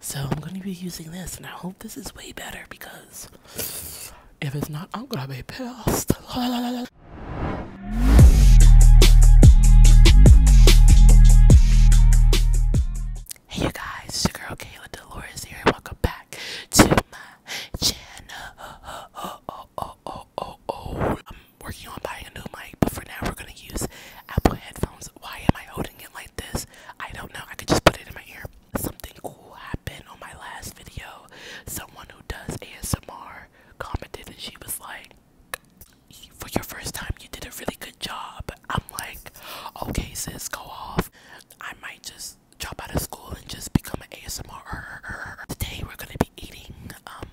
So I'm going to be using this, and I hope this is way better because if it's not, I'm going to be pissed. hey, you guys, it's your girl Kayla Dolores here, welcome back to my channel. I'm working on buying a new mic, but for now, we're going to use Apple headphones why am I holding it like this? I don't know. I could just put it in my ear. Something cool happened on my last video. Someone who does ASMR commented and she was like, for your first time, you did a really good job. I'm like, okay, sis, go off. I might just drop out of school and just become an ASMR. Today we're gonna be eating, um,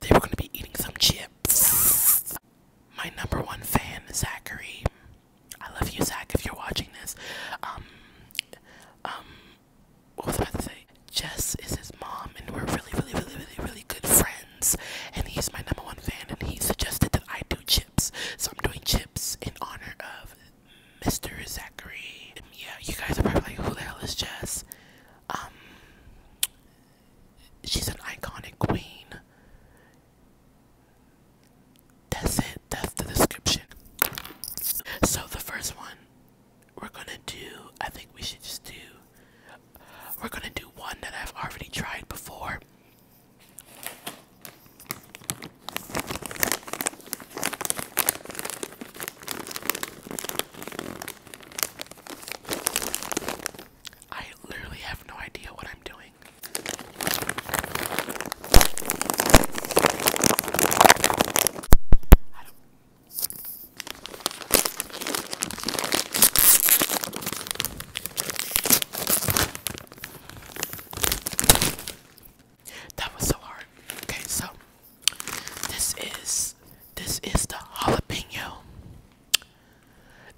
today we're gonna be eating some chips. My number one fan, Zachary. I love you, Zach. If you're watching this, um, um, what was I about Jess is his mom, and we're really, really, really, really, really good friends. And he's my number one fan, and he suggested that I do chips, so I'm doing chips in honor of Mr. Zachary. Yeah, you guys are probably like, who the hell is Jess? Um, She's an iconic queen. That's it. That's the description. So the first one we're gonna do. I think we should just do. We're gonna do one that I've already tried before. I literally have no idea what I'm doing. I don't that was so hard. Okay, so this is this is the jalapeno.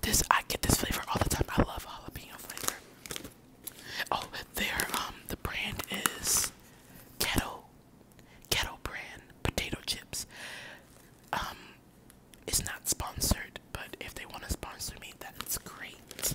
This I get this flavor all the time. I love jalapeno flavor. Oh, their um the brand is Kettle Kettle brand potato chips. Um, it's not sponsored, but if they want to sponsor me, that's great.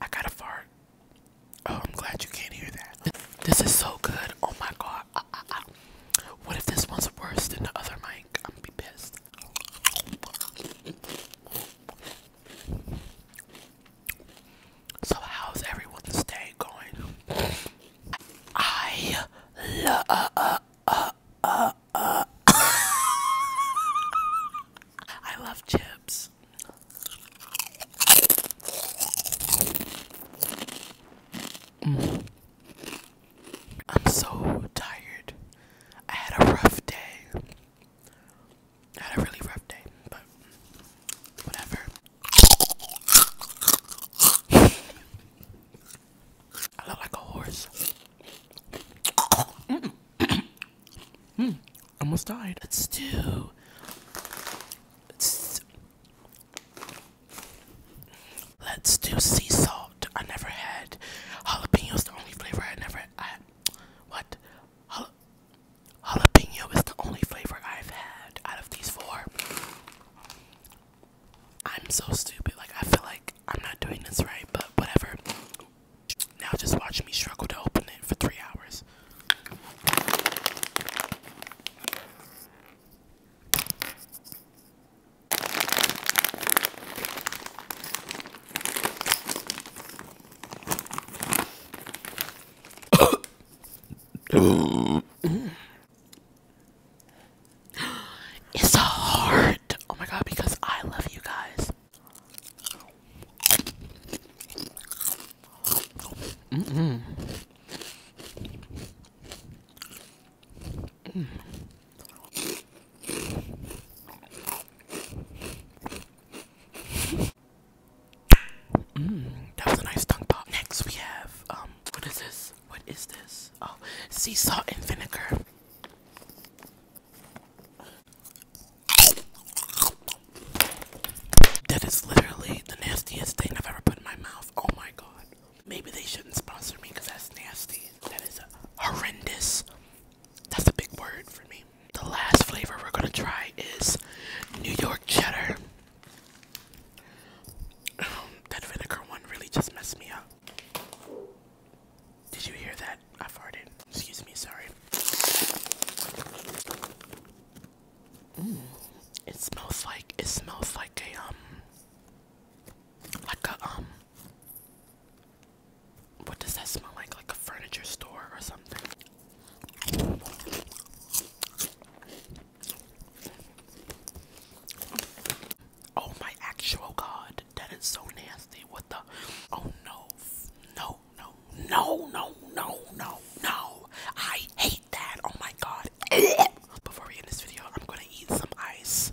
I got a fart. Oh, I'm glad you can't hear that. This is so good. Oh my god. Ah, ah, ah. What if this one's worse than the other mic? I'm gonna be pissed. So, how's everyone's day going? I love. Uh, uh, uh, I love chips. Mm. I'm so tired. I had a rough day. I had a really rough day, but whatever. I look like a horse. Mm. Hmm, almost died. Let's do. Let's, do sea salt. I never had jalapeno. Is the only flavor I never. I what? jalapeno is the only flavor I've had out of these four. I'm so stupid. Like I feel like I'm not doing this right, but whatever. Now just watch me struggle to open it for three hours. It's a heart. Oh my god, because I love you guys. Mmm. Mmm. Mm. that was a nice tongue pop. Next we have um what is this? What is this? Oh sea salt and vinegar. That is literally the nastiest thing I've ever put in my mouth. Oh my god. Maybe they shouldn't sponsor me because that's nasty. That is horrendous. That's a big word for me. The last flavor we're gonna try is New York cheddar. Um, that vinegar one really just messed me up. Did you hear that? I farted. Excuse me, sorry. Mm. It smells like it smells like a um like a um what does that smell like? Like a furniture store or something. Oh my actual god, that is so nasty. What the? Oh no, no, no, no, no, no, no, no. I hate that. Oh my god. Before we end this video, I'm gonna eat some ice.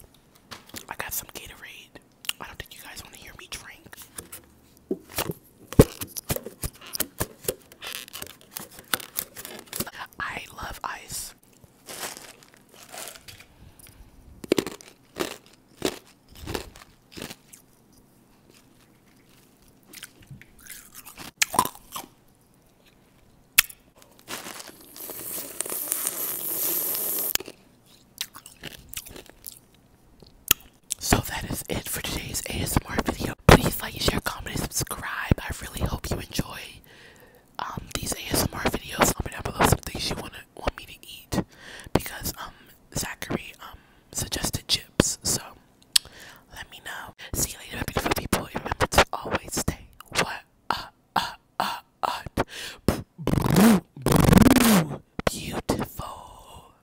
I got some Gatorade. I don't think you guys want to hear me drink. I love ice. So that is it for today's ASMR video. Please like, share, comment, and subscribe. I really hope you enjoy um these ASMR videos. I'm gonna upload some things you wanna want me to eat because um Zachary um suggested chips. So let me know. See you later, beautiful people. remember to always stay what up, up, up, up. Beautiful.